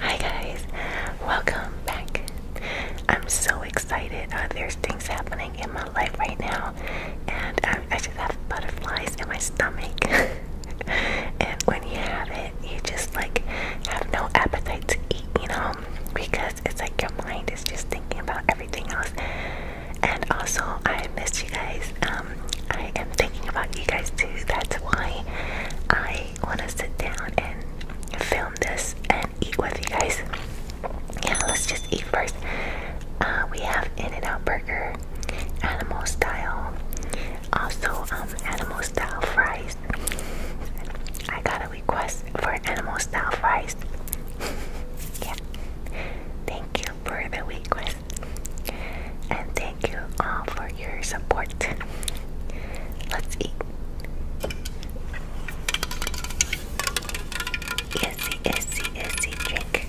Hi guys, welcome back. I'm so excited. Uh, there's things happening in my life right now, and I just have butterflies in my stomach. and when you have it, you just like have no appetite to eat, you know, because it's like your mind is just thinking about everything else. And also, I missed you guys. Um, I am thinking about you guys too. That's why I want to sit down and film this and eat with you guys. Yeah, let's just eat first. Uh, we have In-N-Out Burger, animal style. Also, um, animal style fries. I got a request for animal style fries. yeah. Thank for the week, And thank you all for your support. Let's eat. Easy, easy, easy drink.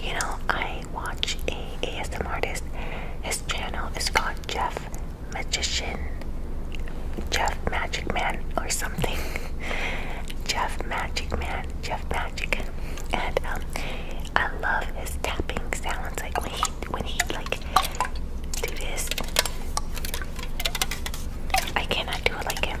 You know, I watch a ASM artist. His channel is called Jeff magician, Jeff Magic Man, or something. Jeff Magic Man, Jeff Magic, and um, I love his tapping sounds. Like when he when he like do this, I cannot do it like him.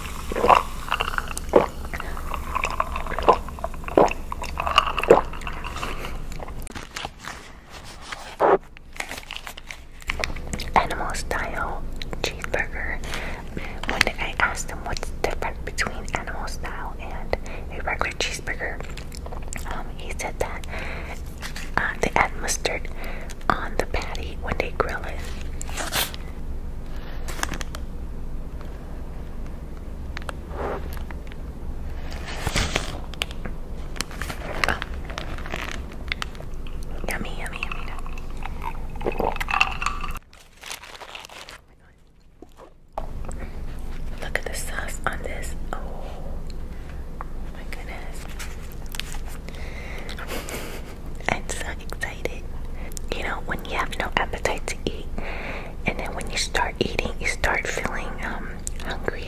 Animal style cheeseburger. One day I asked him what's different between animal style and a regular cheeseburger. Um, he said that uh, they add mustard on the patty when they grill it. Oh. yummy, yummy, yummy. Look at the sauce on this. Oh my goodness. I'm so excited. You know, when you have no appetite to eat, and then when you start eating, you start feeling um, hungry.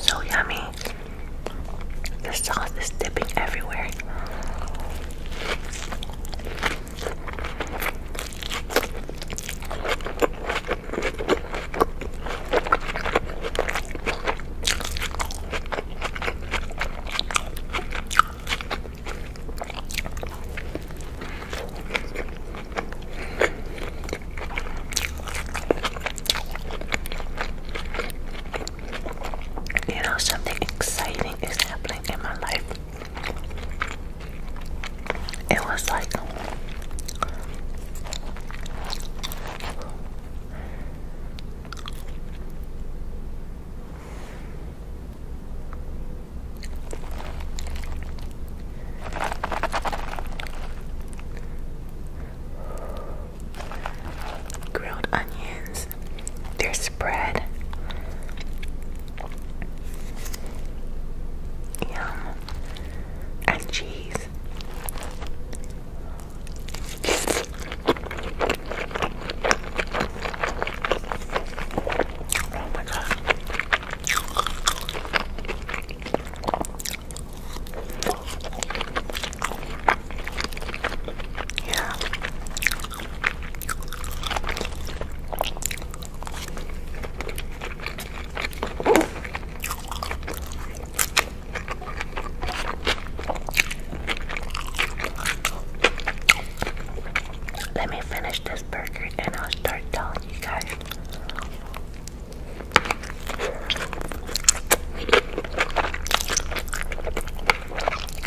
So yummy. The sauce is dipping everywhere. You know, something exciting is happening in my life. It was like grilled onions their spread. Yum. And cheese. Oh my god. Yeah. Let me finish this burger and I'll start telling you guys.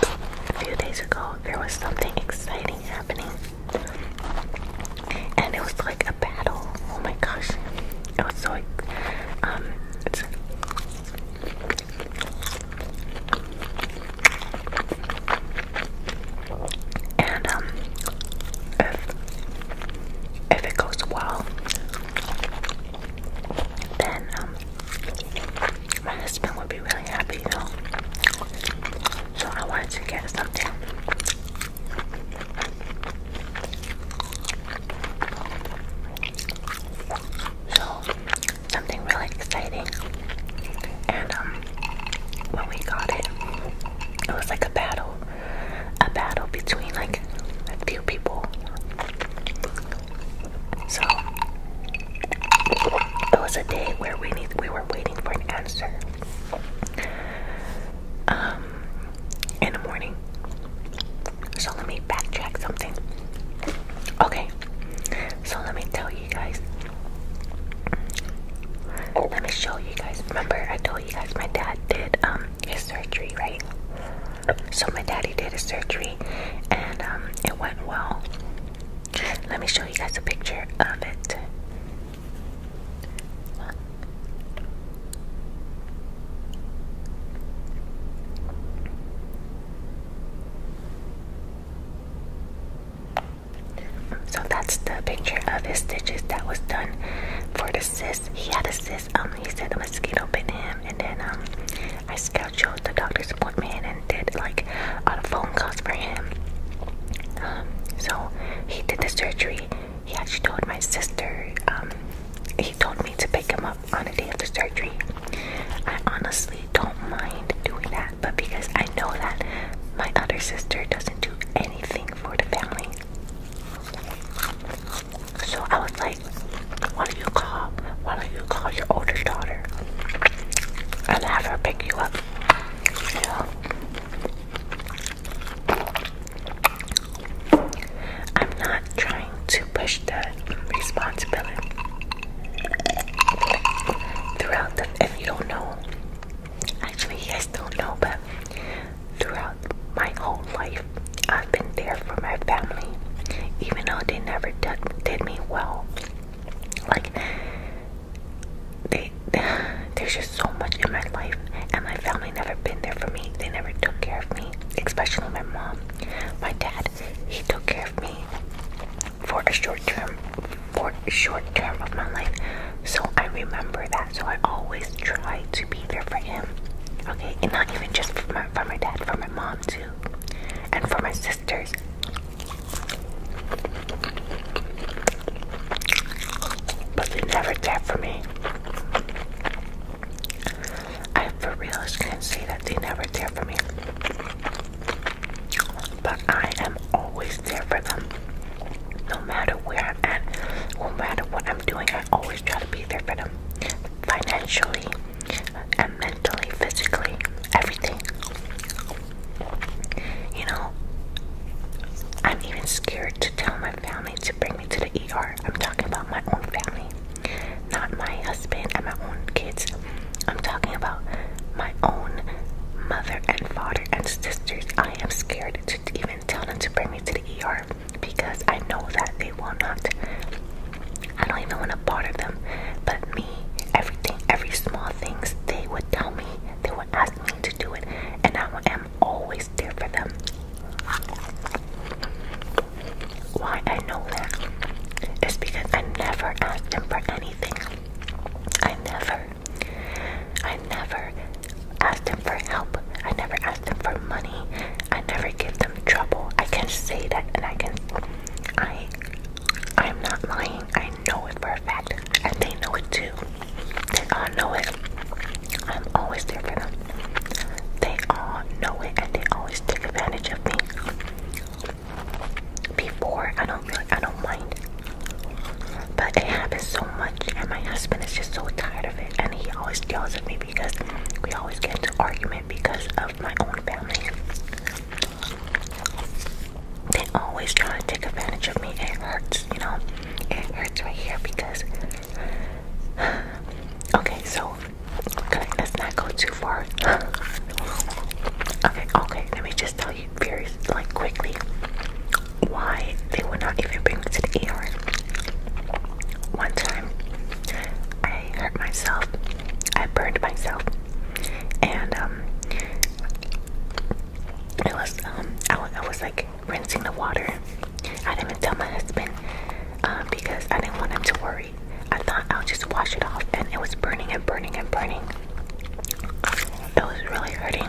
A few days ago, there was something exciting happening, and it was like a battle. Oh my gosh, it was so um, and um, if if it goes well, then um, my husband would be really happy, you know. So I wanted to get something. So something really exciting. And um when we got it, it was like a battle a battle between like a few people. So it was a day where we need we were waiting for an answer. Um in the morning. So let me backtrack something. Okay. So let me tell you guys. Let me show you guys. Remember I told you guys my dad did um his surgery, right? So my daddy did a surgery, and um, it went well. Let me show you guys a picture of it. So that's the picture of his stitches that was done for the cyst. He had a cyst um, he said a mosquito bit him and then um, I scheduled the doctor's appointment and did like a phone calls for him. Um, so he did the surgery. He actually told my sister, he told me to pick him up on the day of the surgery. I honestly don't mind doing that, but because I know that my other sister doesn't do anything for the family. So I was like, why don't you call, why don't you call your older daughter and have her pick you up? I'm not trying to push the responsibility throughout the, if you don't know, actually you guys don't know, but throughout my whole life, I've been there for my family, even though they never did, me well. Like, there's just so much in my life, and my family never been there for me. They never took care of me, especially my mom. My dad, he took care of me for a short term, for a short term of my life. So I remember that. So I always try to be there for him. Okay, and not even just for my dad, for my mom, too. And for my sisters. But they never care for me. I for real can not say that they never care for me. But I am always there for them. No matter where I'm at, no matter what I'm doing, I always try to be there for them. Financially, and mentally, physically, everything. You know, I'm even scared to tell my family to bring me to the ER. I'm talking about my own family, not my husband and my own kids. I'm talking about my own mother and father and sisters. I am scared to even tell them to bring me to the ER because I know that they will not. I don't even want a part of them, but me, everything, every small things they would tell me, they would ask me to do it, and I am always there for them. Why I know that is because I never asked them for anything. I never, I never asked them for help. I never asked them for money. I never give them trouble. I can say that and I can I I'm not lying. I know it for a fact. And they know it too. They all know it. I'm always there for them. They all know it and they always take advantage of me. Before I don't really I don't mind. But it happens so much and my husband is just so tired of it and he always tells at me because we always get into argument because of my own family. They always try to take advantage of me. It hurts, you know. It hurts right here because. Okay, so okay, let's not go too far. okay, okay. Let me just tell you very like quickly why they would not even bring me to the ER. One time, I hurt myself I burned myself, and um, was um, I, was like rinsing the water. I didn't even tell my husband um, because I didn't want him to worry. I thought I'll just wash it off, and it was burning and burning and burning. It was really hurting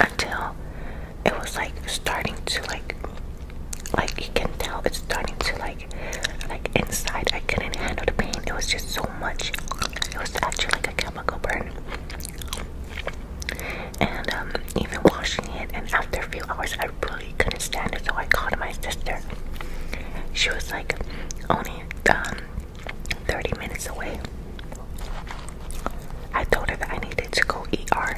until it was like starting to like like you can tell it's starting to like like inside I couldn't handle the pain. It was just so much. It was actually like a chemical burn. And um even washing it and after a few hours I really couldn't stand it so I called my sister. She was like only um, 30 minutes away. I told her that I needed to go ER.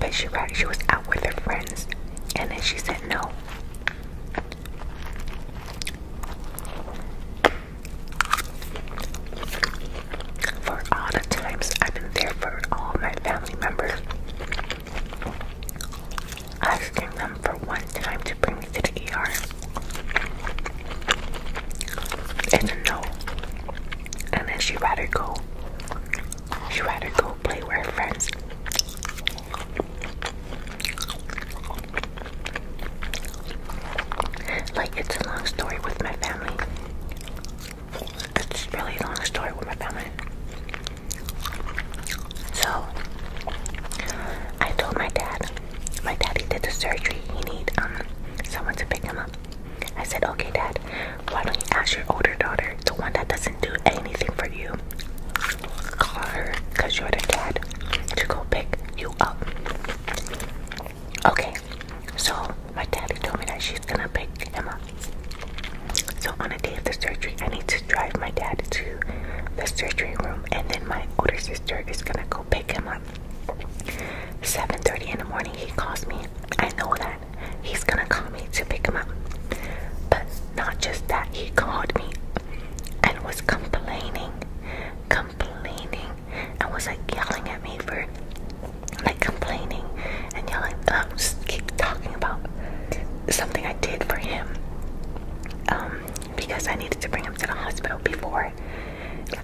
But she right, she was out with her friends, and then she said no. For all the times I've been there for all my family members, asking them for one time to bring me to the ER. It's no. And then she'd rather go She'd rather go play with her friends. Like, it's a long story with my family. It's really long story with my family. So, I told my dad, my daddy did the surgery. He need um someone to pick him up. I said, okay, dad, why don't you ask your older daughter, the one that doesn't do anything for you? Call her, cause you're the dad, to go pick you up. Okay, so my daddy told me that she's gonna pick Emma. So on the day of the surgery, I need to drive my dad to the surgery room, and then my older sister is gonna go pick him up. 7:30 in the morning, he calls me. I know that he's gonna call me to pick him up. But not just that, he called me and was complaining, complaining, and was like yelling at me for like complaining and yelling, um, just keep talking about something I did for him. Um, because I needed to bring him to the hospital before.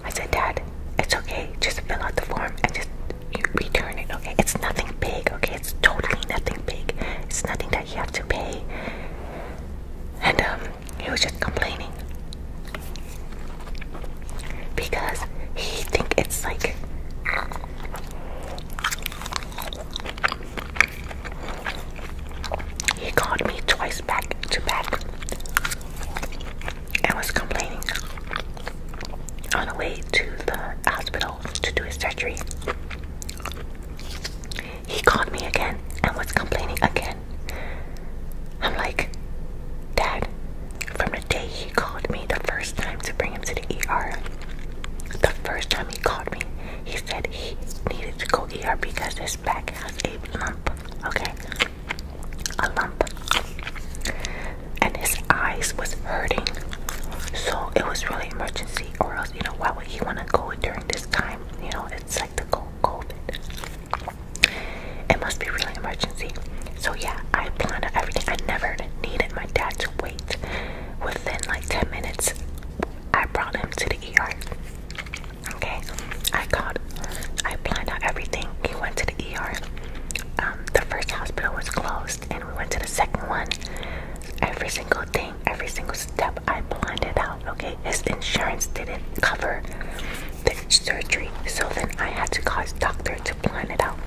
I said, Dad, it's okay, just fill out the form and just return it, okay? It's nothing big, okay? It's totally nothing big. It's nothing that you have to pay. And um, he was just complaining because he think it's like he called me twice back to back and was complaining on the way to the hospital to do his surgery. He called me again and was complaining again. I'm like, Dad, from the day he called me the first time to bring him to the ER, the first time he called me, he said he needed to go ER because his back has a lump, okay? A lump. And his eyes was hurting. So it was really emergency or else, you know, why would he want to go during this time? You know, it's like the cold. It must be really emergency. So yeah, I planned everything. I never needed my dad to wait. Within like 10 minutes, I brought him to the ER. Okay, I called. I planned out everything. He went to the ER. the first hospital was closed, and we went to the second one. Every single day every single step I planned it out, okay? His insurance didn't cover the surgery, so then I had to call his doctor to plan it out.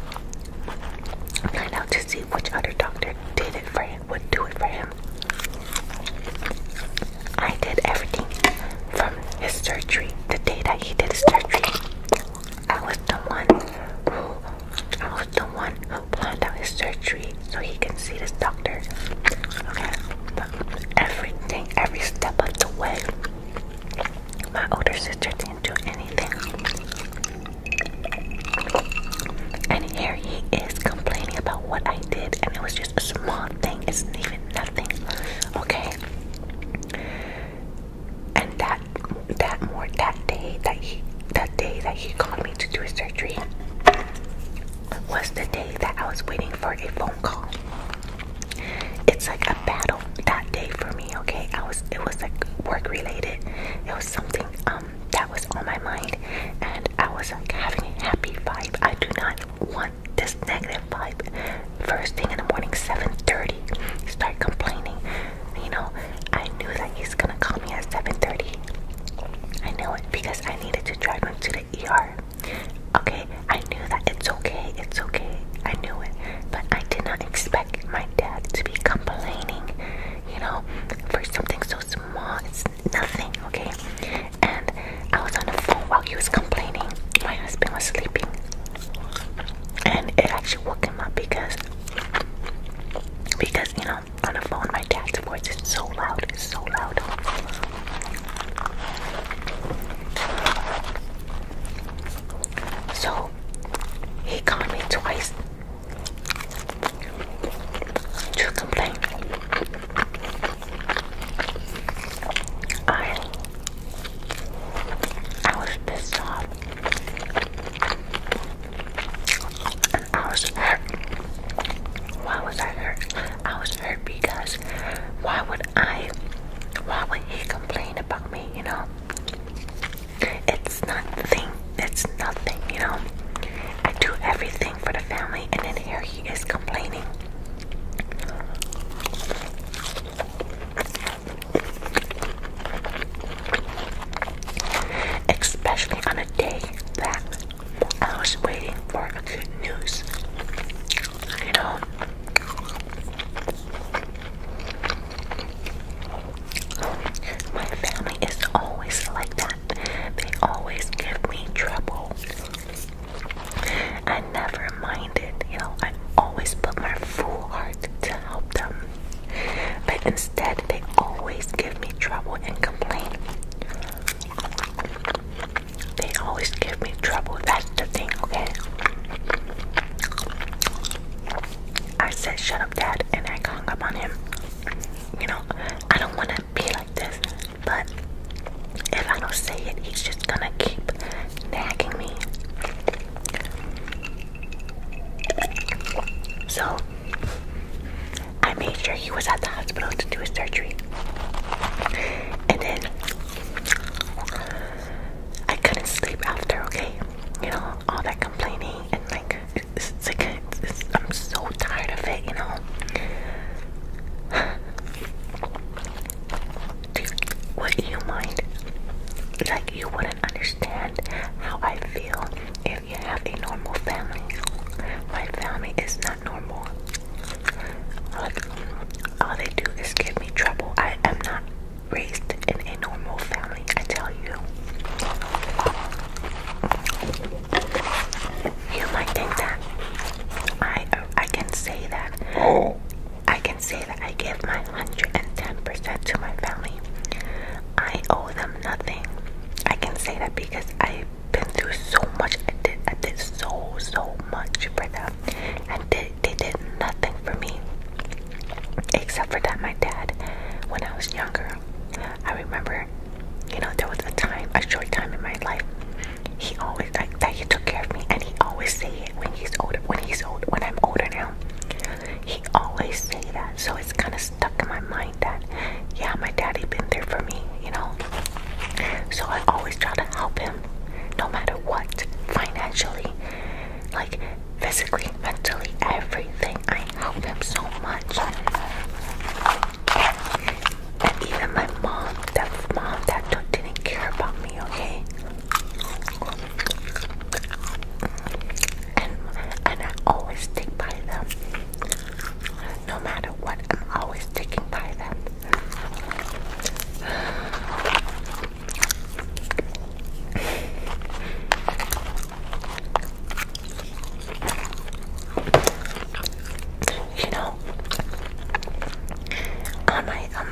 Plan out to see which other doctor did it for him, would do it for him. I did everything from his surgery, the day that he did his surgery. I was the one who I was the one who planned out his surgery so he can see this doctor. Okay, everything, every step of the way, my older sister didn't do anything. And here he is complaining about what I did, and it was just a small thing, it's even nothing. Okay. And that that more that day that he the day that he called me to do a surgery was the day that I was waiting for a phone call. It's like a battle that day for me, okay? I was it was like work related. It was something um that was on my mind and I was like having a happy vibe. I do not want this negative vibe. First thing in the morning, 7:30, start complaining you know, I knew that he's gonna call me at 7:30. I knew it because I needed to drive him to the ER. Okay, I knew that it's okay, it's okay. I knew it, but I did not expect my dad to be complaining, you know, for something so small. It's nothing, okay? And I was on the phone while he was complaining. My husband was sleeping, and it actually woke him up because because you know um, on the phone. My dad's voice is so loud. It's so loud. So he called me twice to complain. I I was pissed off. I was hurt. Why was I hurt? I was hurt because why would I, why would he complain about me, you know? It's nothing, it's nothing, you know? I do everything for the family and then here he is complaining especially on a day that I was waiting for good news. You know, my family is always like that. They always give me trouble. I never minded, you know, I always put my full heart to help them. But instead, they always give me trouble and complain. They always give me trouble. That's the thing, okay? I said, shut up, dad, and I hung up on him. You know, I don't want to be like this, but if I don't say it, he's just gonna keep nagging me. So, I made sure he was at the hospital to do his surgery. And then I couldn't sleep after, okay? You know, all that complaining and like, it's, like, I'm so tired of it, you know? would you mind? Like, you wouldn't understand how I feel if you have a normal family. My family is not normal. all they do is give me trouble. I am not raised in a normal family, I tell you. You might think that I I can say that. I can say that I give my 110% to my family. I owe them nothing. I can say that because I been through so much. I did, so, so much for them. And they, they did nothing for me. Except for that, my dad, when I was younger, I remember, you know, there was a time, a short time in my life, he always, like, that he took care of me. And he always say it when he's older, when he's old, when I'm older now. He always say that. So it's kind of stuck in my mind that, yeah, my daddy been there for me, you know. So I always try to help him, no matter what, financially, like physically, mentally, everything. I help him so much. And even my mom, that mom that didn't care about me, okay? And and I always stick by them. No matter what, I'm always sticking by them. You know, on my um,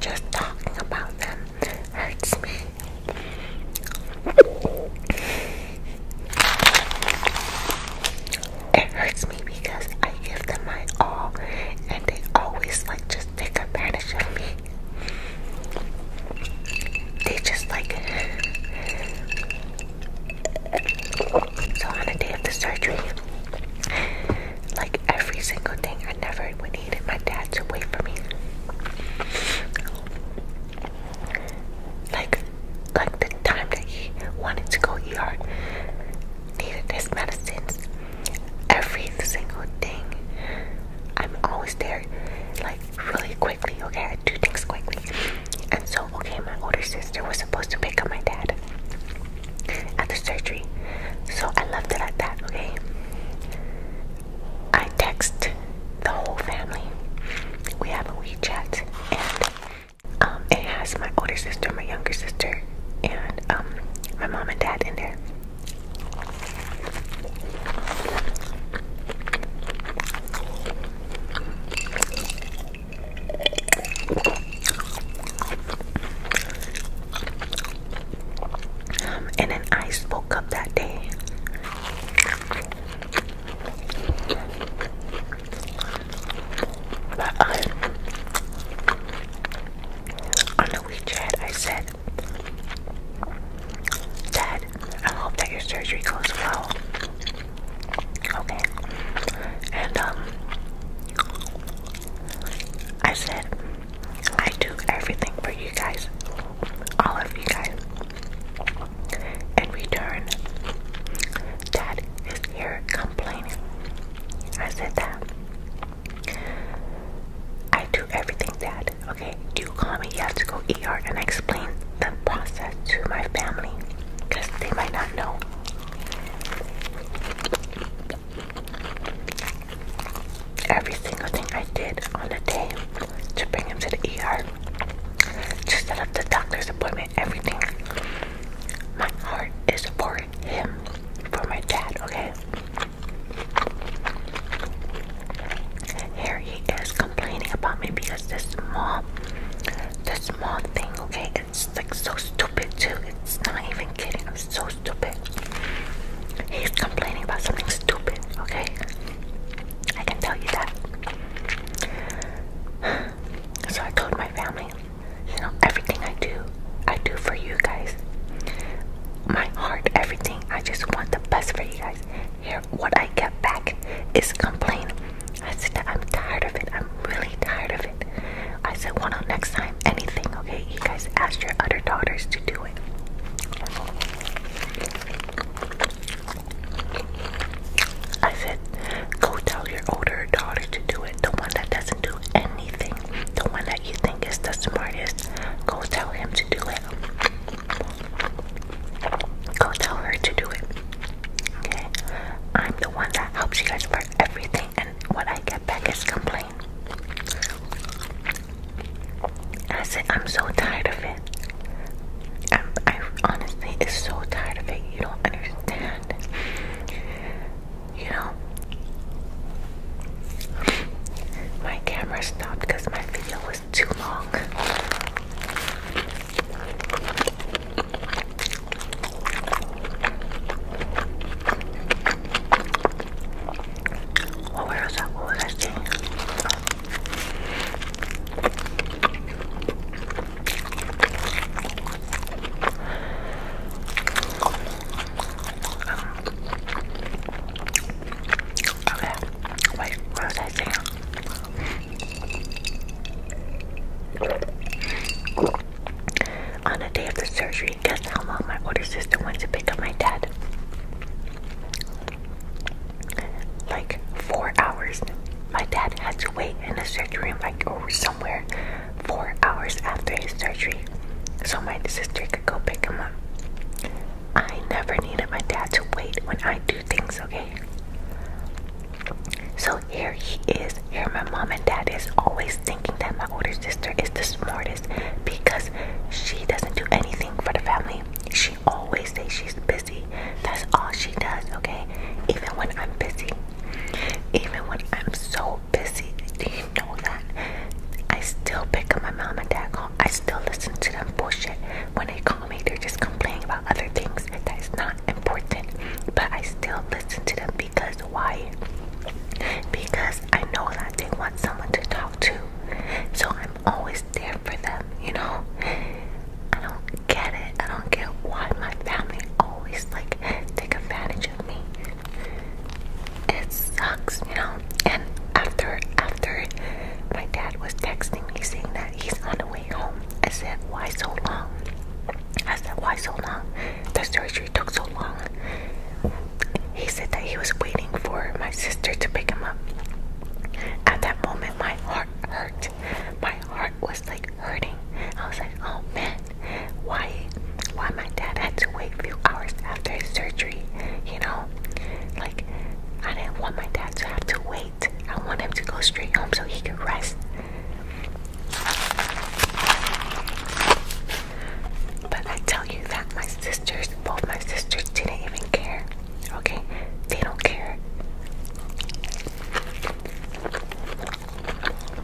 just talking about them hurts me. It hurts me because I give them my all and they always like just take advantage of me. They just like so on the day of the surgery, like every single thing I never would needed my dad to wait for me. Like, like the time that he wanted to go yard. needed this medicines, every single thing. I'm always there, like really quickly. Okay, I do things quickly. And so, okay, my older sister was supposed to pick up my dad at the surgery. So I left it at that, okay? I text the whole family. We have a WeChat and um, it has my older sister, my younger sister, and um, my mom and dad in there. Um, and then I spoke up that day. But um, on the WeChat, I said, Dad, I hope that your surgery goes well. Okay. And, um, I said, I do everything for you guys, all of you guys. and return, Dad is here complaining. I said that. I do everything, Dad. Okay, you call me, you have to go ER and explain the process to my family because they might not know every single thing I did on the day to bring him to the ER, to set up the doctor's appointment, everything. My heart is for him, for my dad, okay? Here he is complaining about me because this small, this small thing, okay? It's like so stupid too. It's not even kidding so stupid. He's complaining about something stupid, okay? I can tell you that. So I told my family, you know, everything I do, I do for you guys. My heart, everything. I just want the best for you guys. Here, what I get back is complain. I said I'm tired of it. I'm really tired of it. I said, well, no, next time anything, okay? You guys asked your other daughters to do it. I said, go tell your older daughter to do it. The one that doesn't do anything, the one that you think is the smartest, go tell him to do it. Go tell her to do it. Okay? I'm the one that helps you guys for everything, and what I get back is complain. I said, I'm so tired of it. i honestly is so tired of it. You don't understand. You know, my camera stopped because my video was too long. Well, was that? What was I saying? okay. Wait, what was I saying? On the day of the surgery, how long my older sister went to pick up my dad. Like four hours. My dad had to wait in the surgery like or somewhere, four hours after his surgery, so my sister could go pick him up. I never needed my dad to wait when I do things, okay? So here he is. Here my mom and dad is always thinking that my older sister is the smartest because she doesn't do anything for the family. She always says she's busy. That's all she does, okay? Even when I'm busy. Even when I'm so busy, do you know that? I still pick up my mom and dad call. I still listen to them bullshit. When they call me, they're just complaining about other things that is not important. But I still listen to them because why? Because I know that they want someone to talk to. So I'm always there for them, you know? I don't get it. I don't get why my family always like take advantage of me. It sucks, you know? And after after my dad was texting me saying that he's on the way home, I said, Why so long? I said, Why so long? The surgery took so long. He said that he was waiting for my sister to pick him up. At that moment, my heart hurt. My heart was like hurting. I was like, oh man, why, why my dad had to wait a few hours after his surgery? You know, like I didn't want my dad to have to wait. I want him to go straight home so he can rest. But I tell you that my sisters, both my sisters, didn't even care. Okay? They don't care.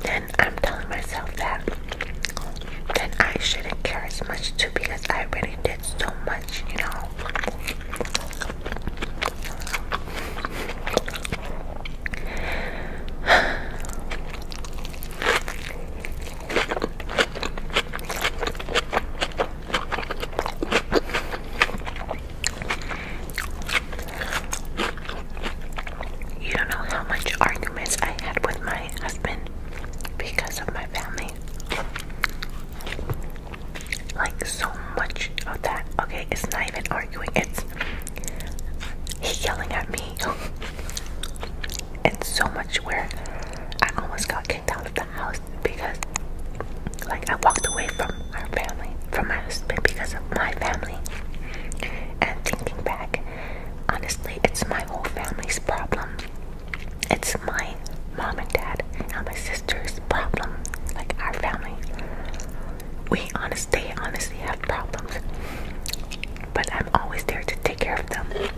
Then I'm telling myself that then I shouldn't care as much too because I really did so much, you know. You don't know how much arguments I had with my husband because of my family. Like, so much of that. Okay, it's not even arguing, it's he yelling at me. and so much where I almost got kicked out of the house because like I walked away from our family, from my husband because of my family. And thinking back, honestly, it's my whole family's problem. It's my mom and dad and my sister's problem. Like our family. We honestly, they honestly have problems. But I'm always there to take care of them.